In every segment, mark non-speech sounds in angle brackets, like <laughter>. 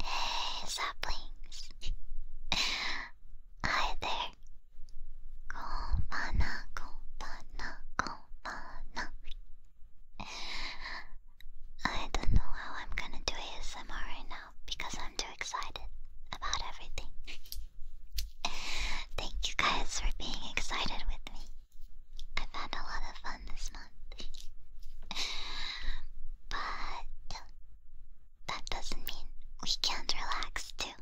Hey, saplings. Hi there. Konbana, konbana, konbana. I don't know how I'm gonna do ASMR right now because I'm too excited about everything. Thank you guys for being excited with me. I've had a lot of fun this month. <laughs> but that doesn't mean we can't relax too. <laughs>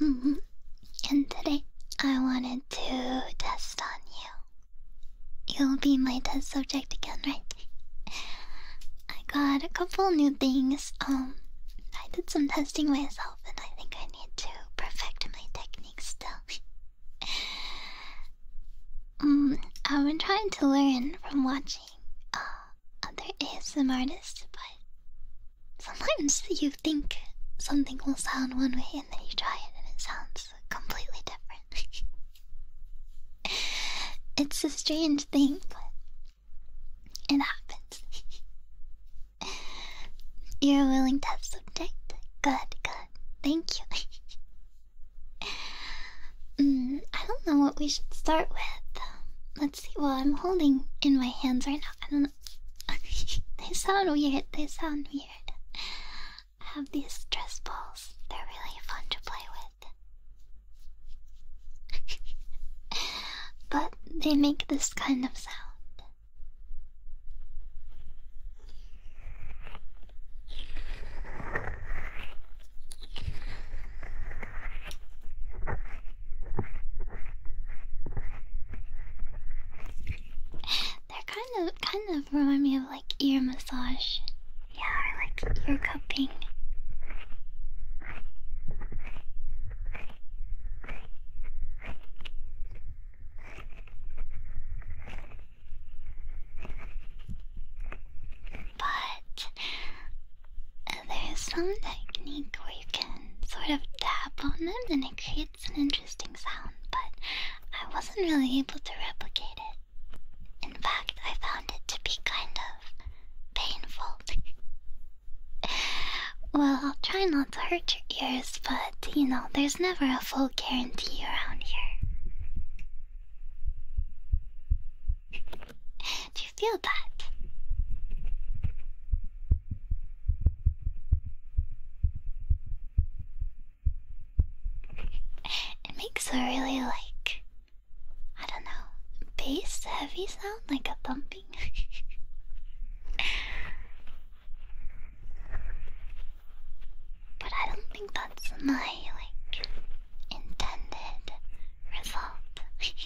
Mm-hmm. And today I wanted to test on you. You'll be my test subject again, right? I got a couple new things um, I did some testing myself, and I think I need to perfect my technique still. <laughs> um, I've been trying to learn from watching uh, other ASM artists, but sometimes you think something will sound one way, and then you try it, and it sounds completely different. <laughs> it's a strange thing, but it happens. <laughs> You're a willing test subject. Good, good. Thank you. <laughs> mm, I don't know what we should start with. Let's see. Well, I'm holding in my hands right now. I don't know. <laughs> they sound weird. They sound weird. I have these stress balls. They're really fun to play with. <laughs> but they make this kind of sound. They're kind of kind of remind me of like ear massage. Yeah, or like ear cupping. But there's some technique where you can sort of tap on them and it creates an interesting sound, but I wasn't really able to replicate it. In fact, I found it to be kind of painful. Well, I'll try not to hurt your ears, but you know, there's never a full guarantee around here. Do you feel that? It makes a really like, I don't know, bass heavy sound, like a thump <laughs> but I don't think that's my like intended result. <laughs>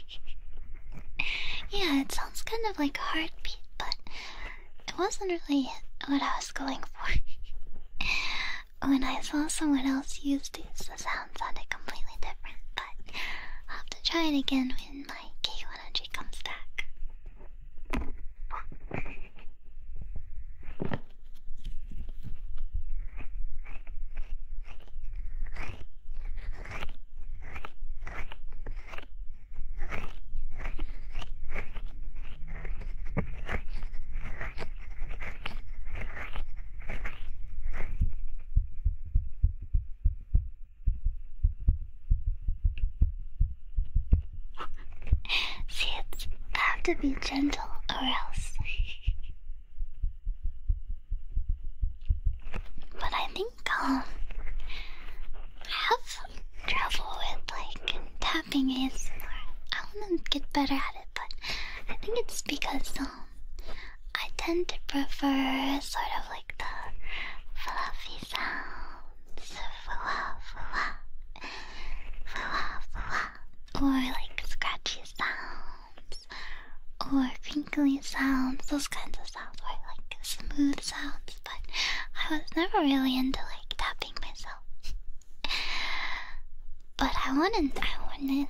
yeah, it sounds kind of like a heartbeat, but it wasn't really what I was going for. <laughs> when I saw someone else use these, the sound sounded completely different, but I'll have to try it again when my KO energy comes back. <laughs> See, it's, I have to be gentle or else. <laughs> but I think um, I have some trouble with like tapping ASMR. I want to get better at it, but I think it's because um, I tend to prefer sort of like the fluffy sounds. Fwa, fwa. Fwa, fwa. Or like scratchy sounds. Or crinkly sounds. Those kinds of sounds or like smooth sounds. But I was never really into like tapping myself. <laughs> But I wouldn't, I wouldn't,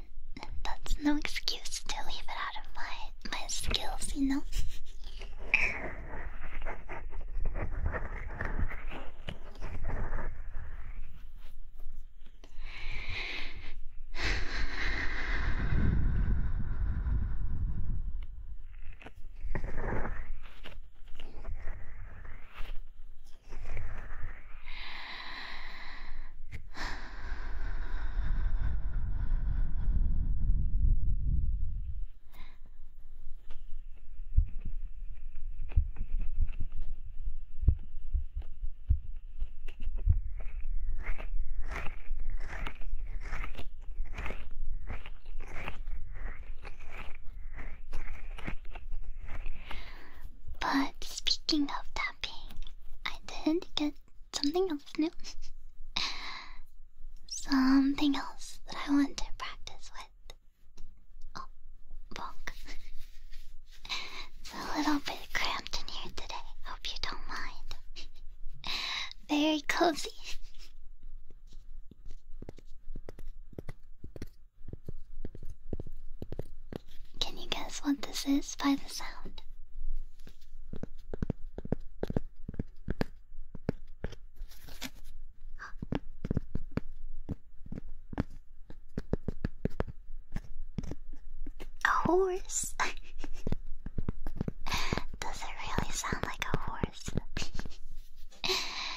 that's no excuse to leave it out of my my skills, you know. But speaking of dumping, I did get something else new. <laughs> something else that I want to practice with. Oh, bonk. it's a little bit cramped in here today. Hope you don't mind. <laughs> Very cozy. Can you guess what this is by the sound? A horse? <laughs> Does it really sound like a horse? <laughs>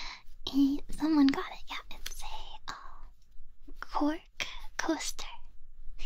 Eh, someone got it. Yeah, it's a uh, cork coaster. <laughs>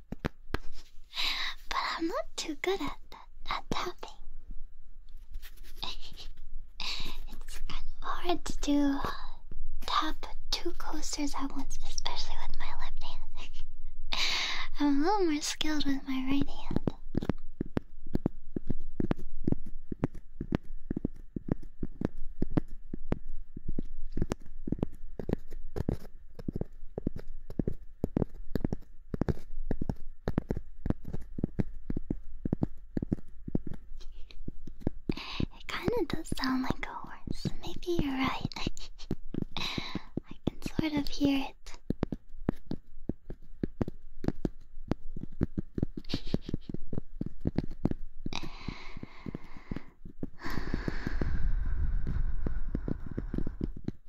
But I'm not too good at that, at tapping. <laughs> it's kind of hard to do uh, tap two coasters at once, especially with my left hand. <laughs> I'm a little more skilled with my right hand. It kinda does sound like a horse. Maybe you're right. <laughs> I can sort of hear it. What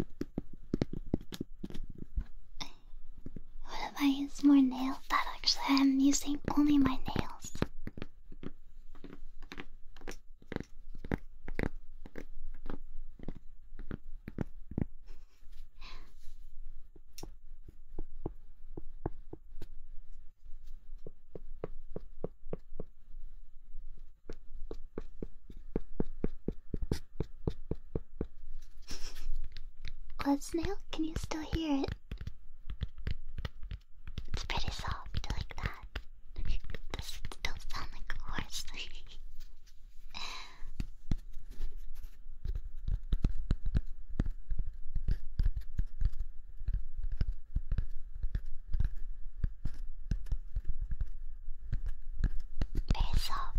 if I use more nails? That actually, I'm using only my nails. Club snail, can you still hear it? It's pretty soft like that. this <laughs> still sound like a horse. <laughs> Very soft.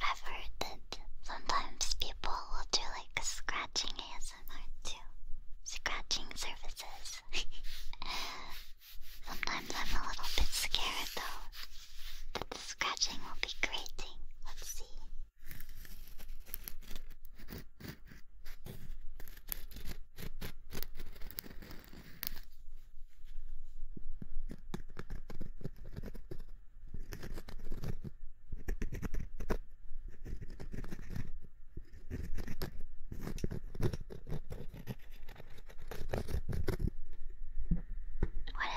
I've heard that sometimes people will do like scratching ASMR too. Scratching services Sometimes I'm a little bit scared though that the scratching will be grating. Let's see. What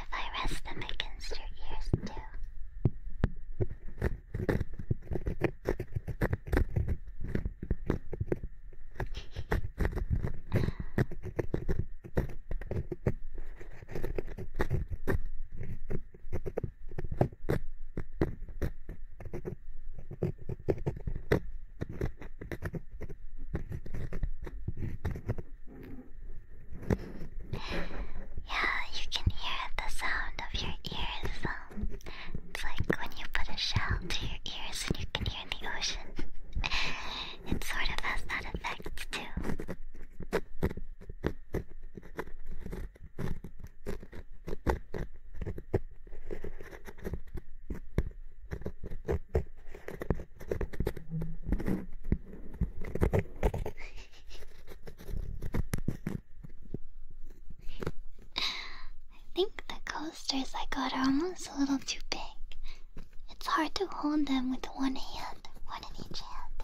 if I rest them against your ears too? Yeah, you can hear the sound of your ears. it's like when you put a shell to your ears and you can hear the ocean. <laughs> it sort of has that effect too. I think the coasters I got are almost a little too big. It's hard to hold them with one hand, one in each hand.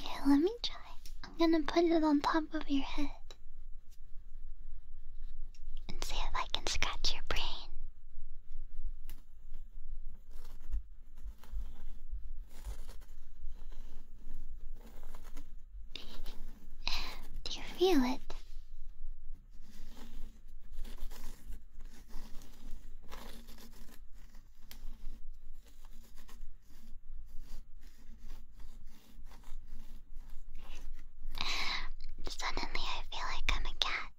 Here, let me try. I'm gonna put it on top of your head and see if I can scratch your brain. Do you feel it? Suddenly, I feel like I'm a cat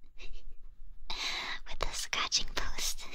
<laughs> with a scratching post. <laughs>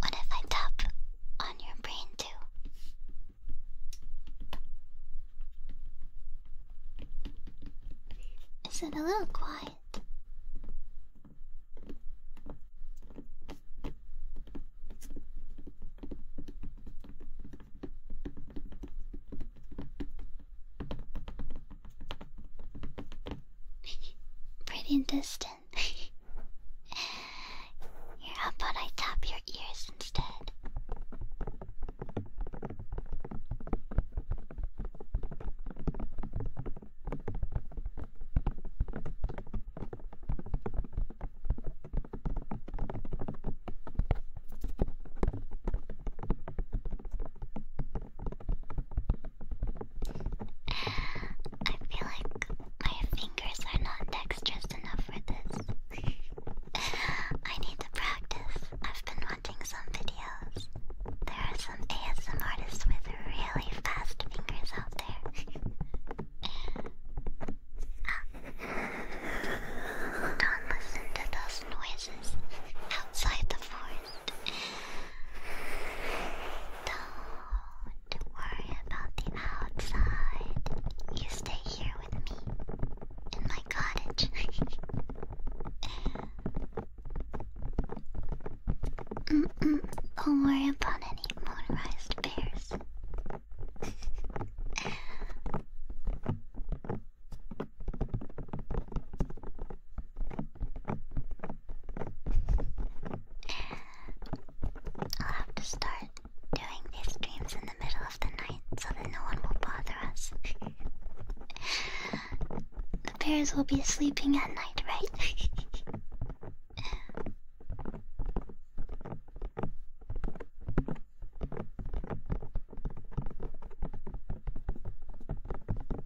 What if I tap on your brain too? Is it a little quiet? Pretty <laughs> distant. <laughs> how about I tap your ears instead? I feel like my fingers are not dexterous enough for this. I need to practice. I've been watching some videos. There are some ASM artists with really fast fingers out there. Don't listen to those noises outside the forest. Don't worry about the outside. You stay here with me in my cottage. mm -mm, don't worry about any motorized bears. I'll have to start doing these streams in the middle of the night so that no one will bother us. the bears will be sleeping at night, right?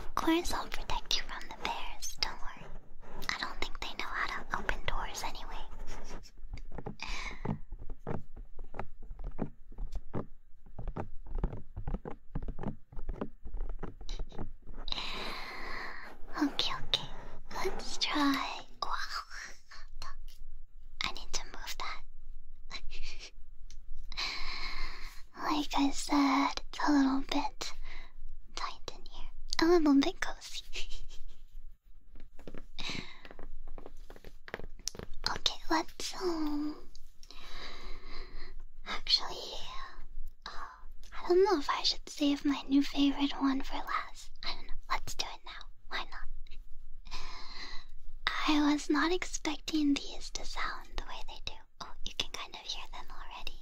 Of course, I'll protect you from the bears, don't worry. I don't think they know how to open doors anyway. okay, okay. Let's try. I need to move that. <laughs> like I said, it's a little bit tight in here. A little bit cozy. <laughs> okay, let's um actually uh, I don't know if I should save my new favorite one for last. I don't know. Let's do it now. Why not? I was not expecting these to sound the way they do. Oh, you can kind of hear them already.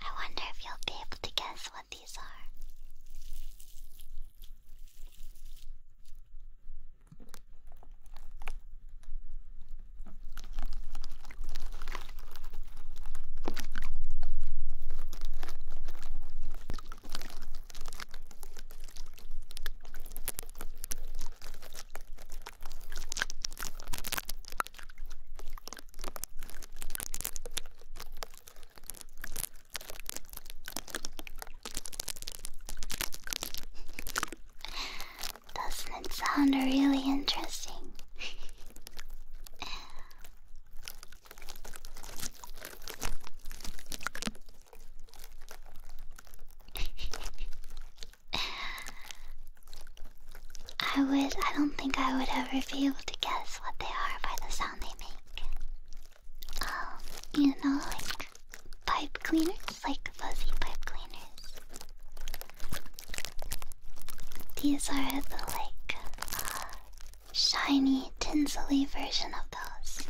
I wonder if you'll be able to guess what these are. Doesn't it sound really interesting? <laughs> I would, I don't think I would ever be able to guess what they are by the sound they make. Um, you know, like pipe cleaners, like fuzzy pipe cleaners. These are the like uh, shiny, tinsely version of those.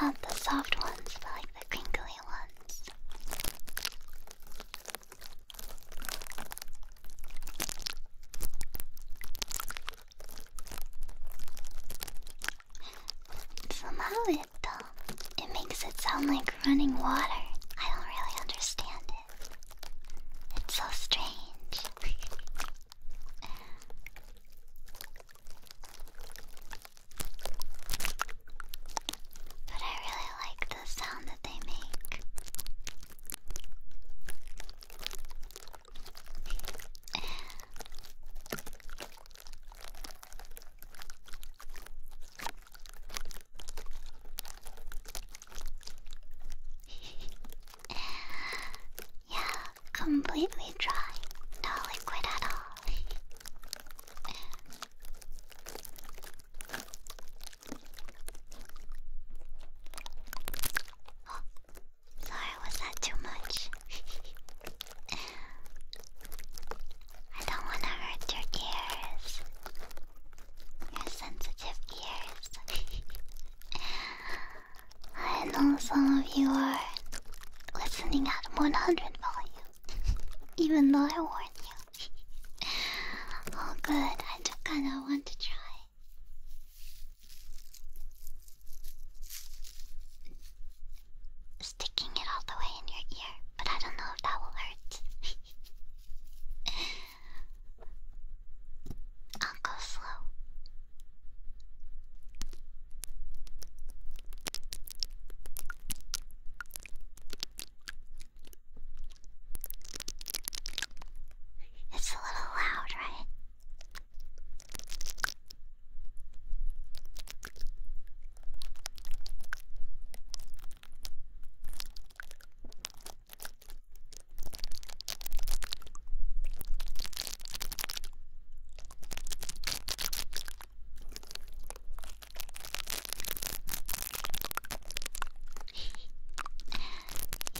Not the soft ones, but like the crinkly ones. Somehow it, though, um, it makes it sound like running water. I don't really understand it. It's so strange. <laughs> But I really like the sound that they make. <laughs> yeah, completely dry. No liquid at all. oh, <laughs> sorry, was that too much? <laughs> I don't want to hurt your ears. Your sensitive ears. I know some of you are listening at 100 volume, even though I warned you. <laughs> oh, good, I just kind of want to try. Sticking it all the way in your ear, but I don't know if that will hurt. <laughs> I'll go slow. It's a little loud, right?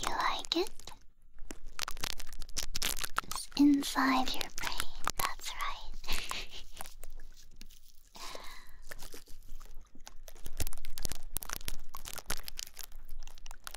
you like it? It's inside your brain, that's right. <laughs>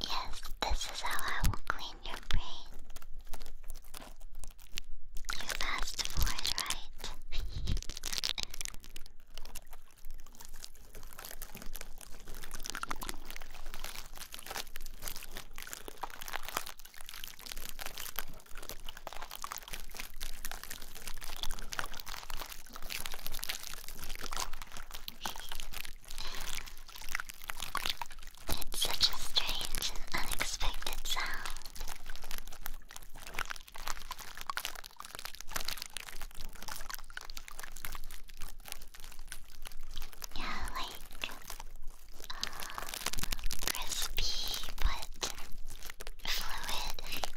Yes, this is how I will clean your brain. You fast forward, right? It's such a strange and unexpected sound. Yeah, like crispy but fluid. <laughs>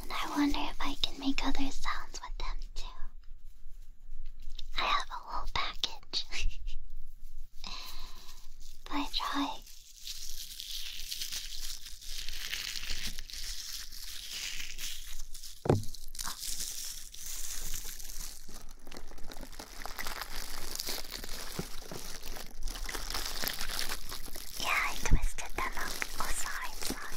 And I wonder if I can make other sounds with them too. I have a whole package. <laughs> but I try. Yeah, I twisted them up. Oh, sorry, sorry.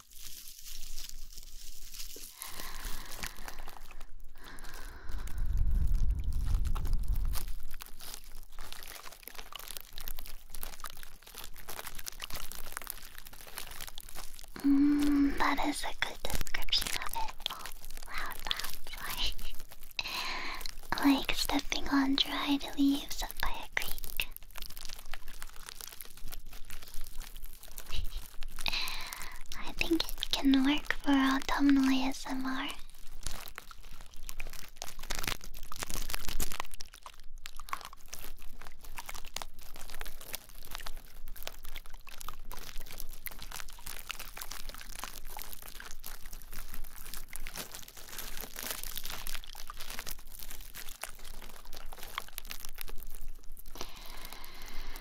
Mm, that is a good description of it. Oh, loud, loud, sorry. like stepping on dried leaves by a creek. <laughs> I think it can work for autumnal ASMR.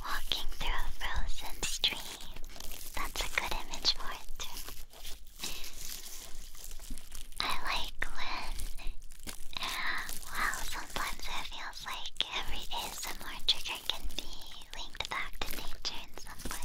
Walking through a frozen stream. That's a good image for it, I like when. Wow, sometimes it feels like every ASMR trigger can be linked back to nature in some way.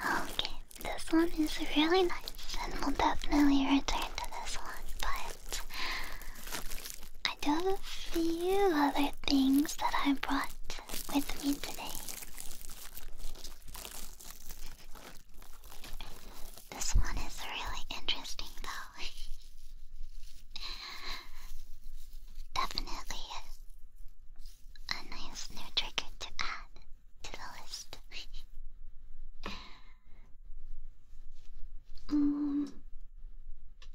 Okay, this one is really nice, and we'll definitely return to this one, but I do have a few other things that I brought with me today. This one is really interesting, though. <laughs> Definitely a nice new trigger to add to the list. <laughs> Mm,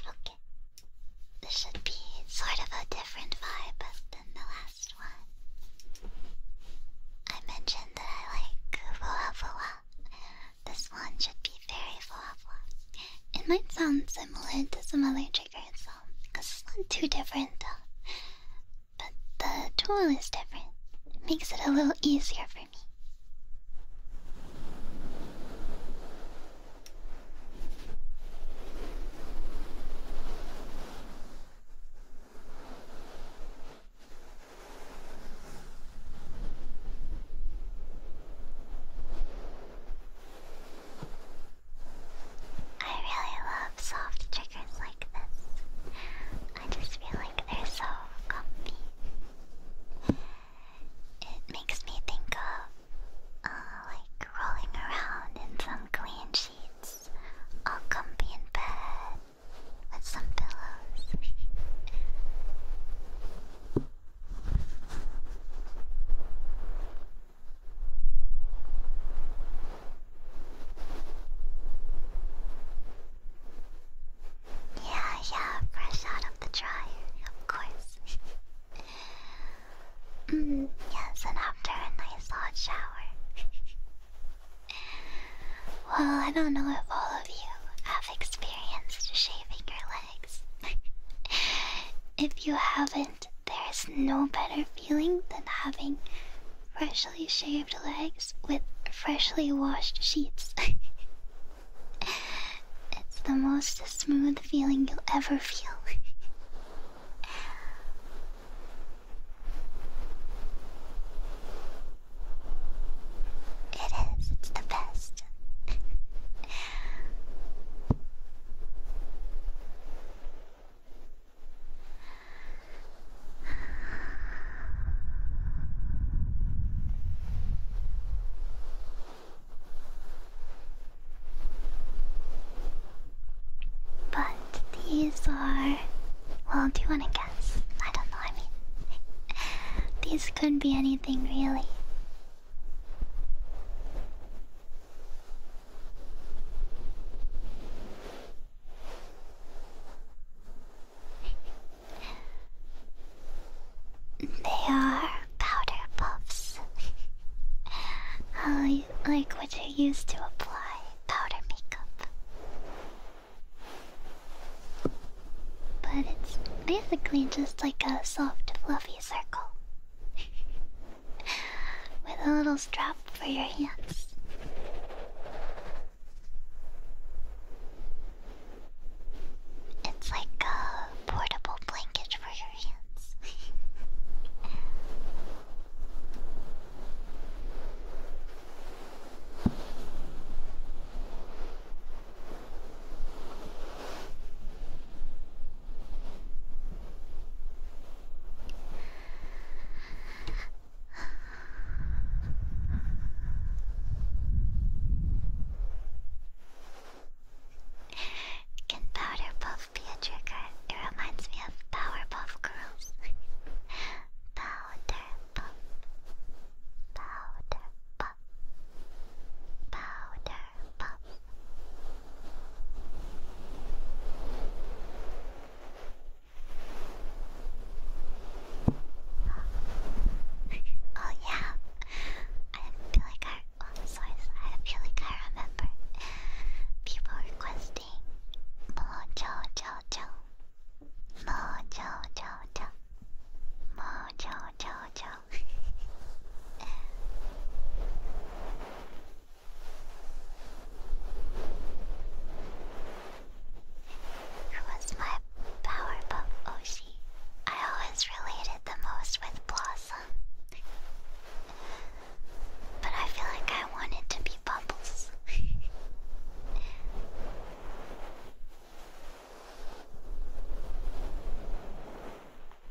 okay. This should be sort of a different vibe than the last one. I mentioned that I like voa This one should be very voa It might sound similar to some other because it's not too different, but the tool is different. It makes it a little easier for me. I really love soft triggers like this. I just feel like they're so comfy. It makes me think of uh, like rolling around in some clean sheets, all comfy in bed with some pillows. Yeah, yeah, fresh out of the dryer, of course. <laughs> Mm, yes, and after a nice hot shower. <laughs> well, I don't know if all of you have experienced shaving your legs. <laughs> if you haven't, there is no better feeling than having freshly shaved legs with freshly washed sheets. <laughs> it's the most smooth feeling you'll ever feel. It is, it's the best. But these are. Well, do you want to guess? I don't know, I mean. <laughs> these could be anything really. They are powder puffs. How <laughs> oh, like what you used to apply powder makeup. But it's basically just like a soft, fluffy circle. <laughs> with a little strap for your hands. It's like a portable blanket for your hands. Can Powderpuff be a trigger? It reminds me of Powerpuff Girls. <laughs> Powderpuff. Powderpuff. Powderpuff. Oh yeah, I feel like I. Oh, sorry, I feel like I remember people requesting Mojo Jojo, Mojo Jojo, Mojo Jojo. <laughs> It was my Powerpuff Oshi. I always related the most with Blossom. But I feel like I wanted to be Bubbles.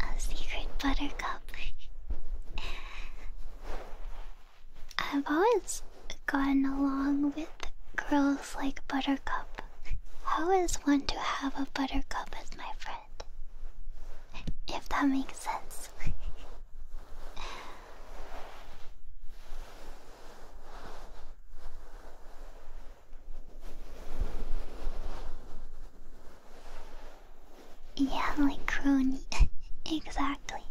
A secret buttercup. I've always gotten along with girls like Buttercup. How is one to have a buttercup as my friend. If that makes sense. Yeah, like crony. <laughs> exactly.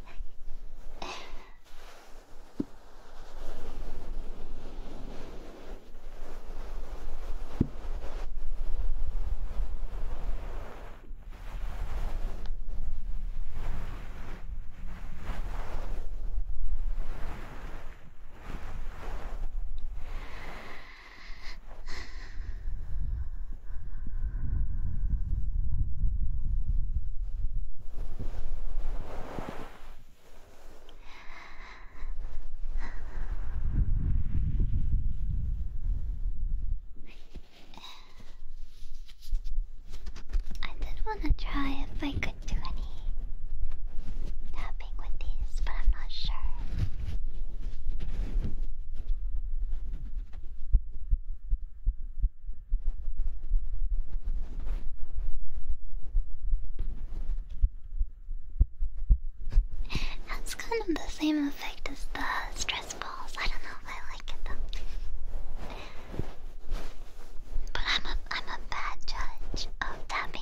I did want to try if I could do any tapping with these, but I'm not sure. That's kind of the same effect as the stress balls. I don't know if I like it though. But I'm a I'm a bad judge of tapping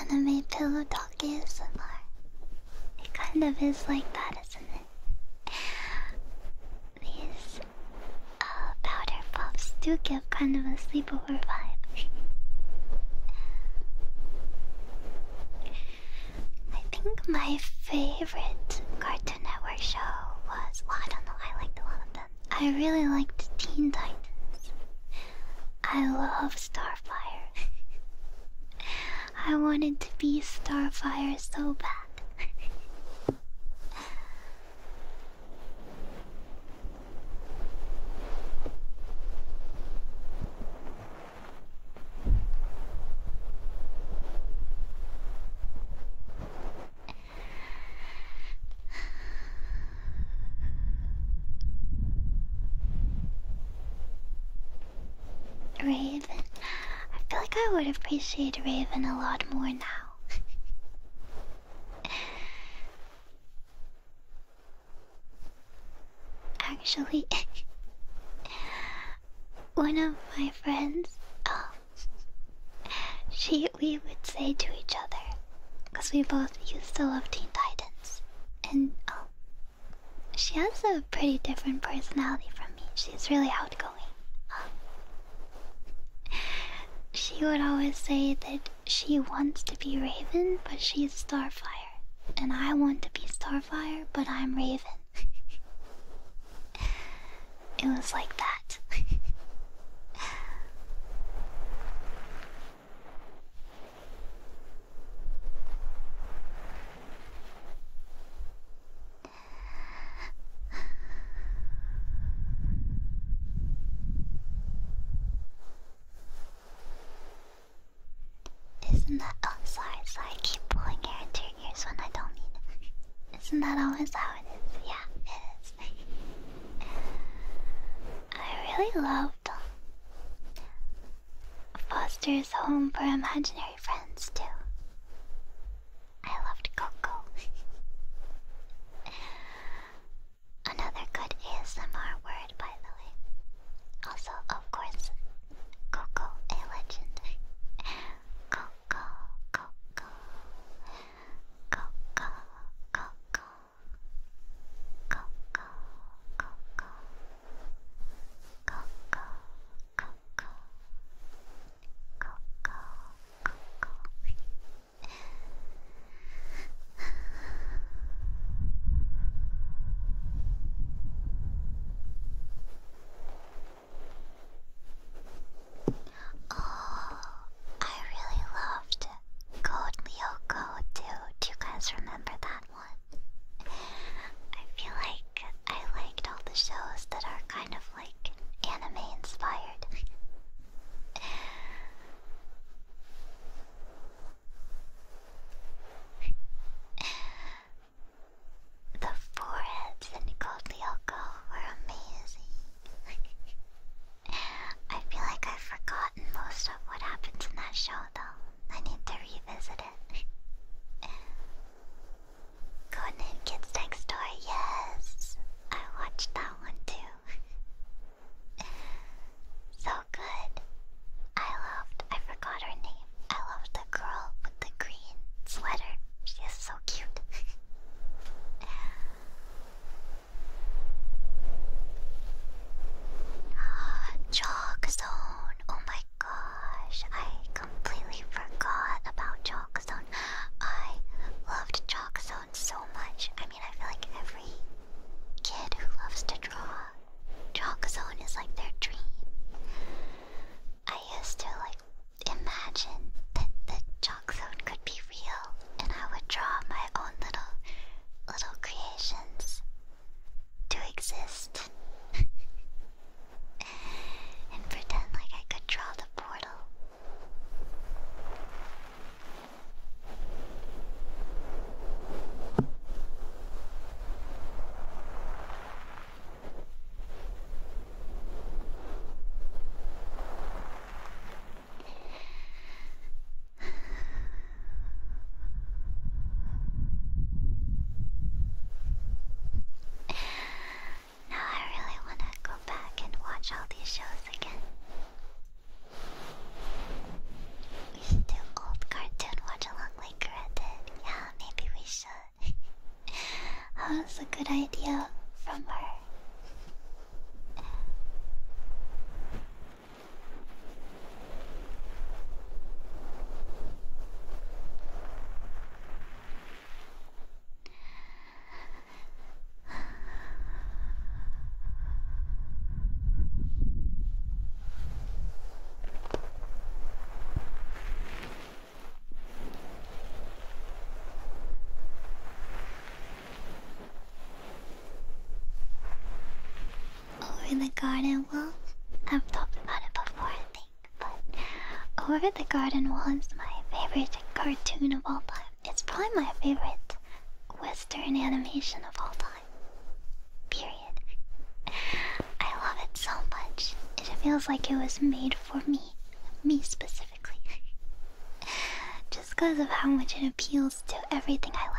Anime pillow talk is similar. It kind of is like that, isn't it? these uh, powder puffs do give kind of a sleepover vibe. <laughs> I think my favorite Cartoon Network show was. Well, I don't know, I liked a lot of them. I really liked Teen Titans. I love Starfire. <laughs> I wanted to be Starfire so bad. <laughs> Raven. I feel like I would appreciate Raven a lot more now. <laughs> Actually, <laughs> one of my friends, um, she we would say to each other, because we both used to love Teen Titans, and um, she has a pretty different personality from me. She's really outgoing. Um, she would always say that she wants to be Raven, but she's Starfire. And I want to be Starfire, but I'm Raven. <laughs> it was like that. <laughs> Isn't that? Oh, sorry, sorry. keep pulling hair into your ears when I don't need it. Isn't that always how it is? Yeah, it is. I really loved um, Foster's Home for Imaginary Friends too. I loved Coco. Another good ASMR word, by the way. Also, of course, Coco, a legend. Coco, Coco, Coco, Coco, Coco, Coco, Coco, Coco, Coco, Coco. Oh, I really loved Gold Lyoko too. Do you guys remember that one? I feel like I liked all the shows that are kind of like anime inspired. the foreheads in Kodlyoko were amazing. I feel like I've forgotten most of what happens in that show though. I need to revisit it. Conan Kids Next Door, yes! I watched that one too so good. I loved, I forgot her name. I loved the girl with the green sweater. She is so cute. <laughs> Chalk Oh my gosh, I completely forgot about Chalk I loved Chalk so much. I mean, I feel like every kid who loves to draw, chalk zone is like their dream. I used to like imagine that the chalk zone could be real, and I would draw my own little little creations to exist. <laughs> and pretend like I could draw the portal now I really want to go back and watch all these shows we should do a old cartoon watch along like Red did. Yeah, maybe we should. <laughs> that was a good idea from her. Over the garden wall, I've talked about it before, I think, but Over the Garden Wall is my favorite cartoon of all time. It's probably my favorite Western animation of all time. Period. I love it so much. It feels like it was made for me. Me specifically. <laughs> Just because of how much it appeals to everything I like.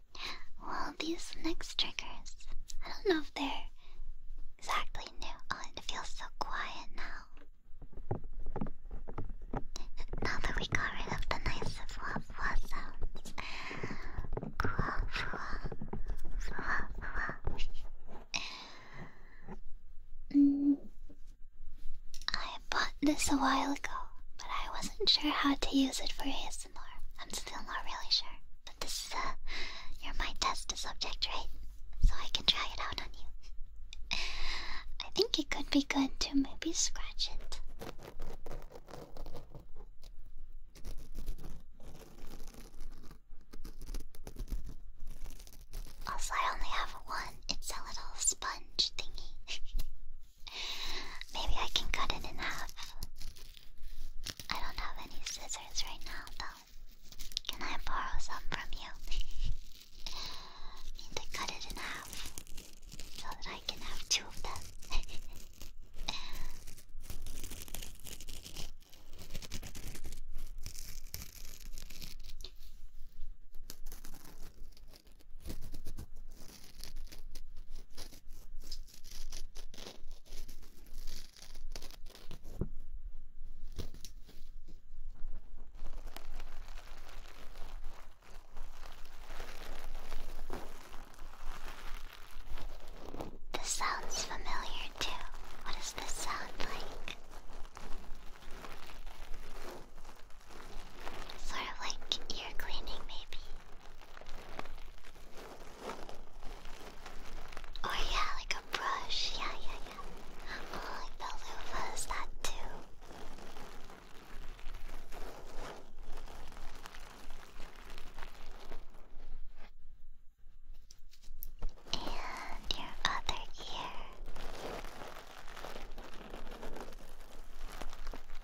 Well, these next triggers, I don't know if they're exactly new. Oh, it feels so quiet now. Now that we got rid of the nice fluff fluff sounds. Fluff fluff fluff fluff. mm. I bought this a while ago, but I wasn't sure how to use it for his. I'm still not really sure, but this is a uh, you're my test subject, right? So I can try it out on you. <laughs> I think it could be good to maybe scratch it. Also, I only have one. It's a little sponge thingy. <laughs> Maybe I can cut it in half I don't have any scissors right now, though. Can I borrow some from you? <laughs> need to cut it in half so that I can have two of them. <laughs> This sounds familiar too. What does this sound like? Sort of like ear cleaning, maybe. Or oh, yeah, like a brush. Yeah, yeah, yeah. Oh, like the loofah that too. And your other ear.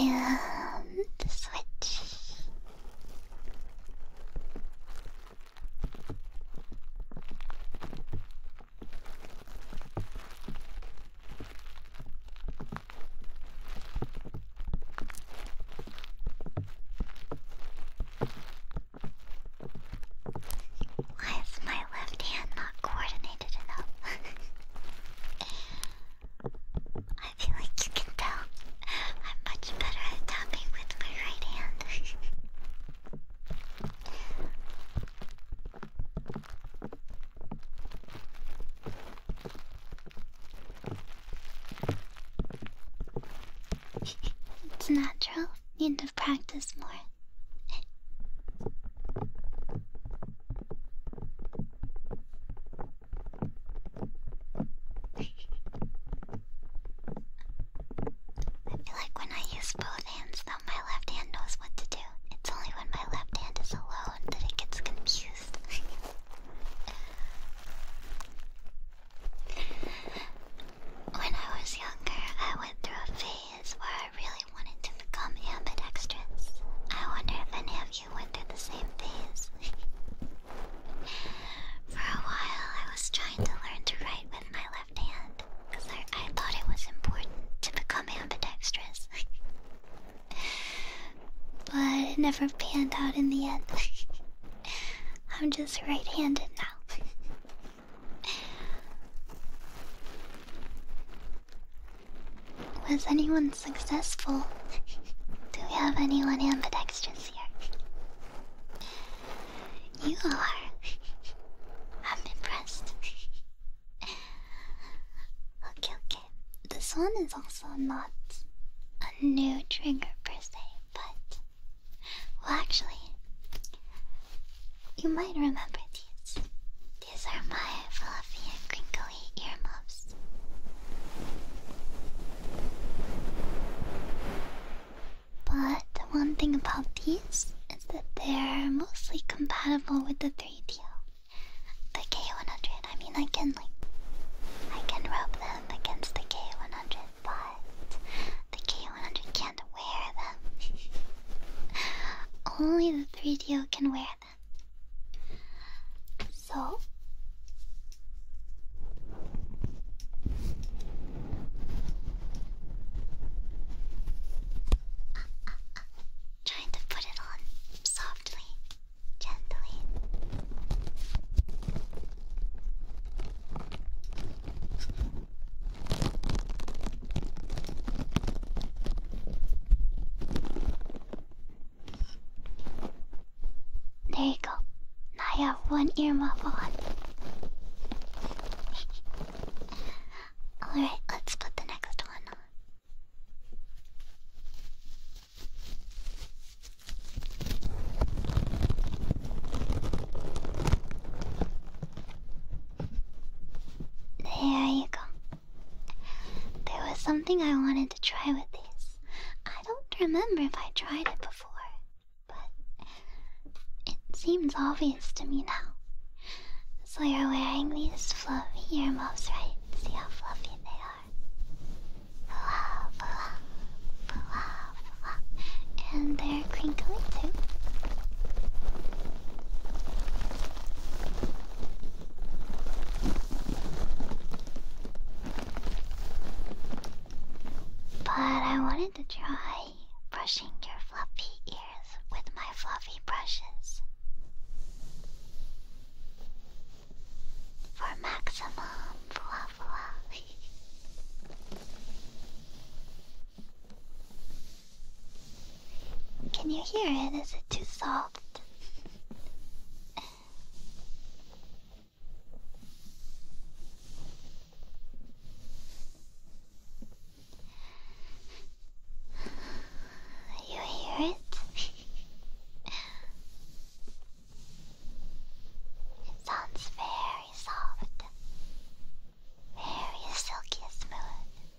And switch. Why is my left hand not coordinated? <laughs> I feel like you can tell I'm much better at tapping with my right hand. <laughs> it's natural, you know? should more. <laughs> I feel like when I use both hands, though, my left hand knows what to do. It's only when my left hand is alone that it gets confused. <laughs> when I was younger, I went through a phase where really wanted to become ambidextrous. I wonder if any of you went through the same phase. <laughs> For a while, I was trying to learn to write with my left hand because I thought it was important to become ambidextrous. <laughs> but it never panned out in the end. <laughs> I'm just right handed now. Was anyone successful? <laughs> Do we have anyone ambidextrous here? You are. <laughs> I'm impressed. <laughs> okay, okay. This one is also not a new trigger per se, but. Well, actually, you might remember these. These are my fluffy and crinkly earmuffs. But the one thing about these is that they're mostly compatible with the 3DO. The K100, I mean I can like, I can rub them against the K100, but the K100 can't wear them. <laughs> Only the 3 d can wear them. So trying to put it on softly, gently. There you go. Now I have one ear muffle on. Alright, let's put the next one on. There you go. There was something I wanted to try with these. I don't remember if I tried it before, but it seems obvious to me now. So you're wearing these fluffy earmuffs, right? See how fluffy they are. And they're crinkly too. But I wanted to try brushing your fluffy ears with my fluffy brushes for maximum fluff. Can you hear it? Is it too soft? You hear it? it sounds very soft, very silky smooth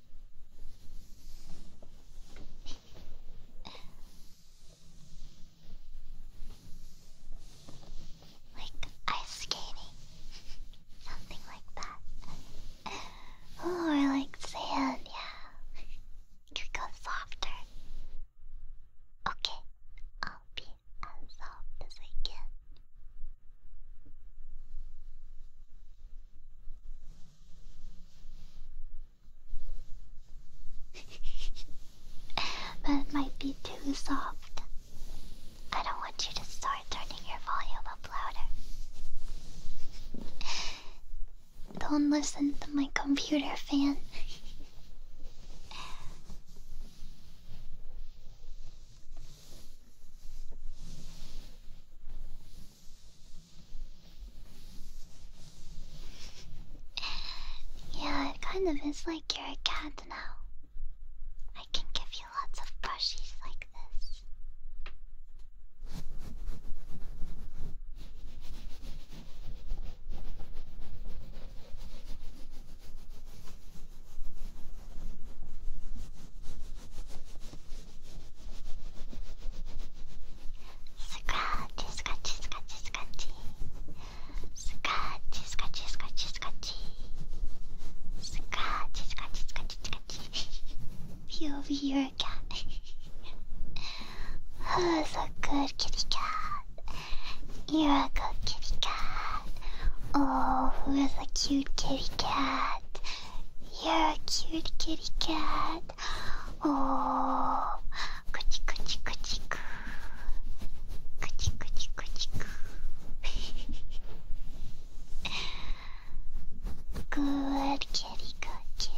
like ice skating, <laughs> something like that, <laughs> or like sand. Yeah, you go softer. Okay, I'll be as soft as I can. <laughs> that might be too soft. I don't want you to start turning your volume up louder. Don't listen to my computer fan. <sighs> yeah, it kind of is like you're a cat now. I can give you lots of brushes like this. Scratchy, scratchy, scratchy, scratchy. Scratchy, scratchy, scratchy, scratchy. Scratchy, scratchy, scratchy, scratchy. You over here, cat. <laughs> oh, so good, kitty cat. You're a good kitty cat. Oh, who is a cute kitty cat? You're a cute kitty cat. Oh, coochie coochie good kitty, good kitty. Good kitty, good kitty.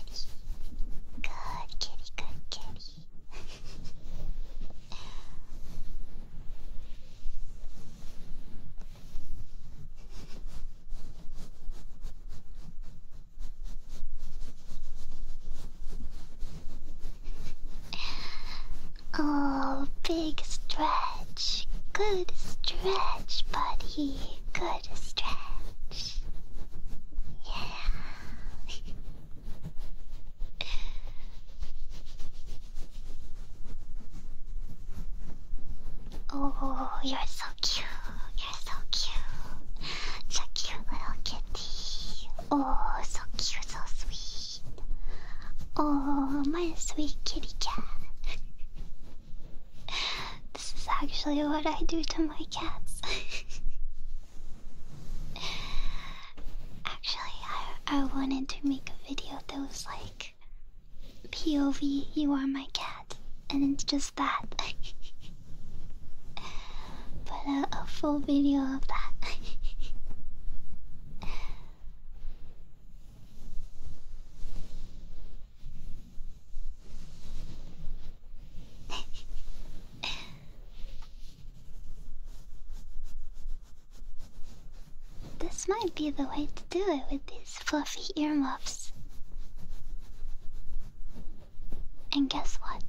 Oh, big stretch. Good stretch, buddy. Good stretch. Yeah. <laughs> Oh, you're so cute. You're so cute. So cute, little kitty. Oh, so cute, so sweet. Oh, my sweet kitty cat. This is actually what I do to my cats. <laughs> actually, I, I wanted to make a video that was like POV, you are my cat, and it's just that. <laughs> but a full video of that. <laughs> this might be the way to do it with these his fluffy earmuffs. And guess what?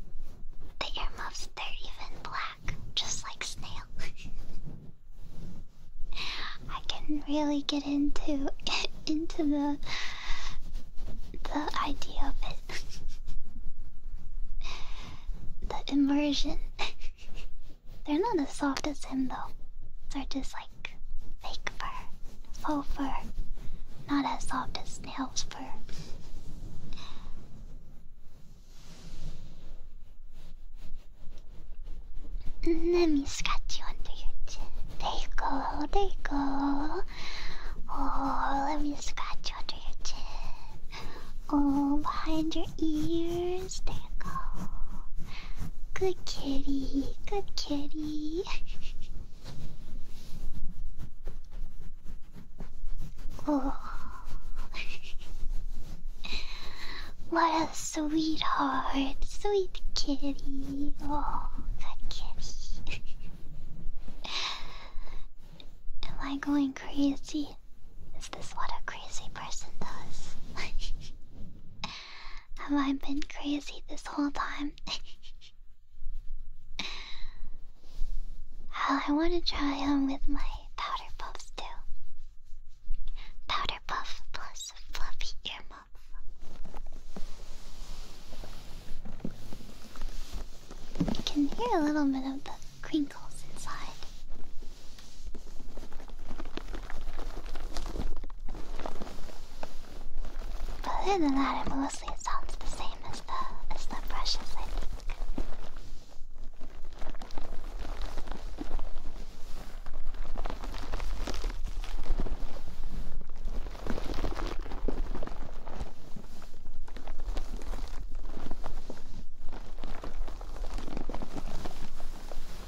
The earmuffs, they're even black, just like Snail. <laughs> I can really get into <laughs> into the the idea of it. <laughs> the immersion. they're not as soft as him though. They're just like fake fur, faux fur, not as soft as snail's fur. Let me scratch you under your chin. There you go, there you go. Oh, let me scratch you under your chin. Oh, behind your ears. There you go. Good kitty, good kitty. Oh, what a sweetheart, sweet kitty. Oh, good kitty. Am I going crazy? Is this what a crazy person does? <laughs> Have I been crazy this whole time? <laughs> I want to try on with my powder puff too. Powder puff plus fluffy earmuff. I can hear a little bit of the crinkles inside. Other than that, it mostly sounds the same as the as the brushes, I think.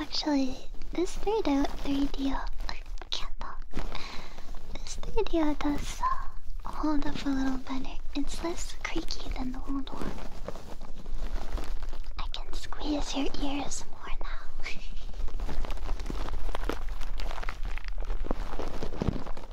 Actually, this 3D, 3D I This 3 does uh, hold up a little better. It's less creaky than the old one. I can squeeze your ears more now. <laughs>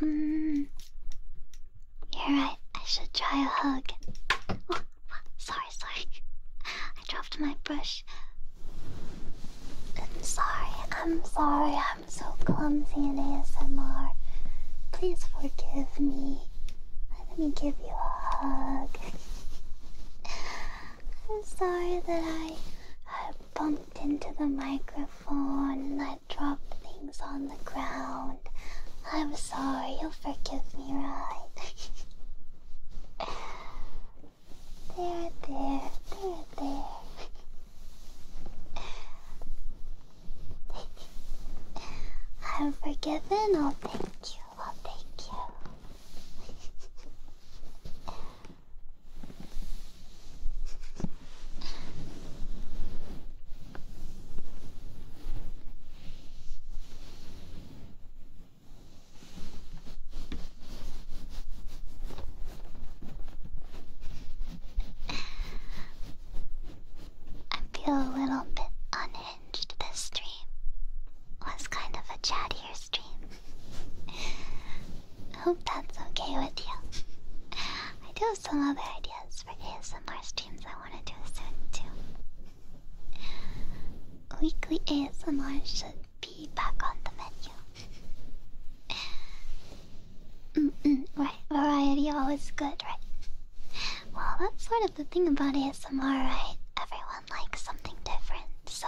You're mm. right, I should try a hug. Oh, sorry, sorry. <laughs> I dropped my brush. I'm sorry, I'm sorry, I'm so clumsy in ASMR. Please forgive me. Let me give you a hug. I'm sorry that I, I bumped into the microphone and Drop things on the ground. I'm sorry, you'll forgive me, right? <laughs> there, there, there, there. <laughs> I'm forgiven. I'll thank you. I'll thank you. <laughs> I feel a little bit unhinged this dream Was kind of a chattier dream. I hope that's okay with you. I do have some other ideas for ASMR streams I want to do soon too. Weekly ASMR should be back on the menu. Mm -mm, right, variety always good, right? Well, that's sort of the thing about ASMR, right? Everyone likes something different, so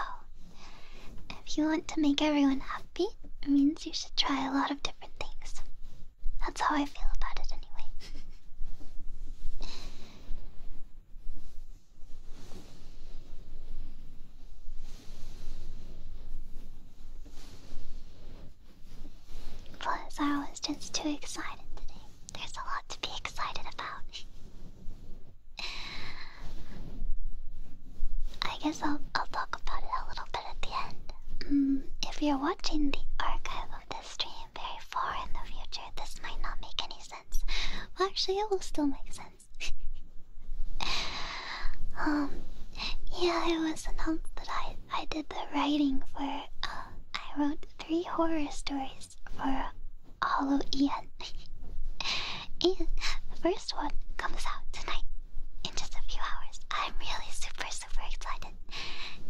if you want to make everyone happy, happy, it means you should try a lot of different things. That's how I feel about it, anyway. Plus, <laughs> I was just too excited today. There's a lot to be excited about. <laughs> I guess I'll, I'll talk about it a little but at the end. Mm, if you're watching the archive of this stream very far in the future, this might not make any sense. Well, actually, it will still make sense. <laughs> um, yeah, it was announced that I I did the writing for. Uh, I wrote three horror stories for all of Ian, and the first one comes out tonight in just a few hours. I'm really super, super excited.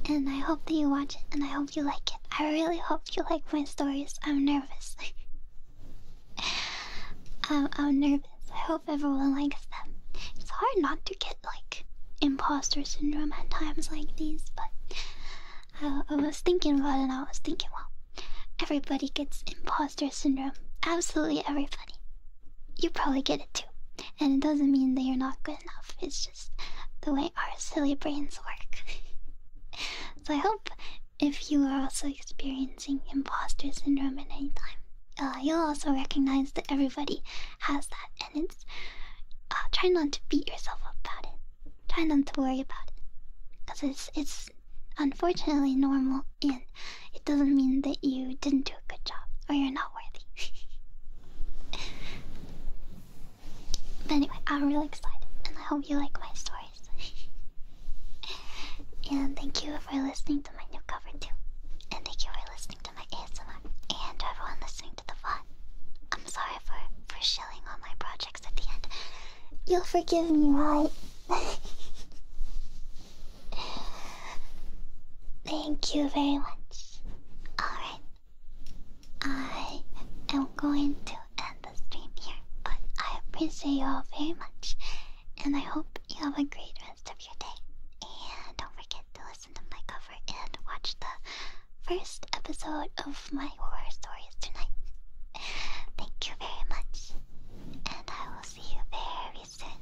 And I hope that you watch it and I hope you like it. I really hope you like my stories. I'm nervous. <laughs> I'm, nervous. I hope everyone likes them. It's hard not to get like imposter syndrome at times like these, but I, uh, I was thinking about it and I was thinking, well, everybody gets imposter syndrome. Absolutely everybody you probably get it too. And it doesn't mean that you're not good enough, it's just the way our silly brains work. <laughs> so I hope if you are also experiencing imposter syndrome at any time, uh, you'll also recognize that everybody has that, and it's uh, try not to beat yourself up about it. Try not to worry about it, because it's it's unfortunately normal and it doesn't mean that you didn't do a good job or you're not worthy. but anyway, I'm really excited, and I hope you like my stories. <laughs> and thank you for listening to my new cover too, and thank you for listening to my ASMR, and everyone listening to the fun. I'm sorry for for shilling all my projects at the end. You'll forgive me, right? <laughs> Thank you very much. Alright. I am going to end the stream here, but I appreciate you all very much, and I hope you have a great rest of your day. And don't forget to listen to my cover and watch the first episode of my horror stories tonight. Thank you very much, and I will see you very soon.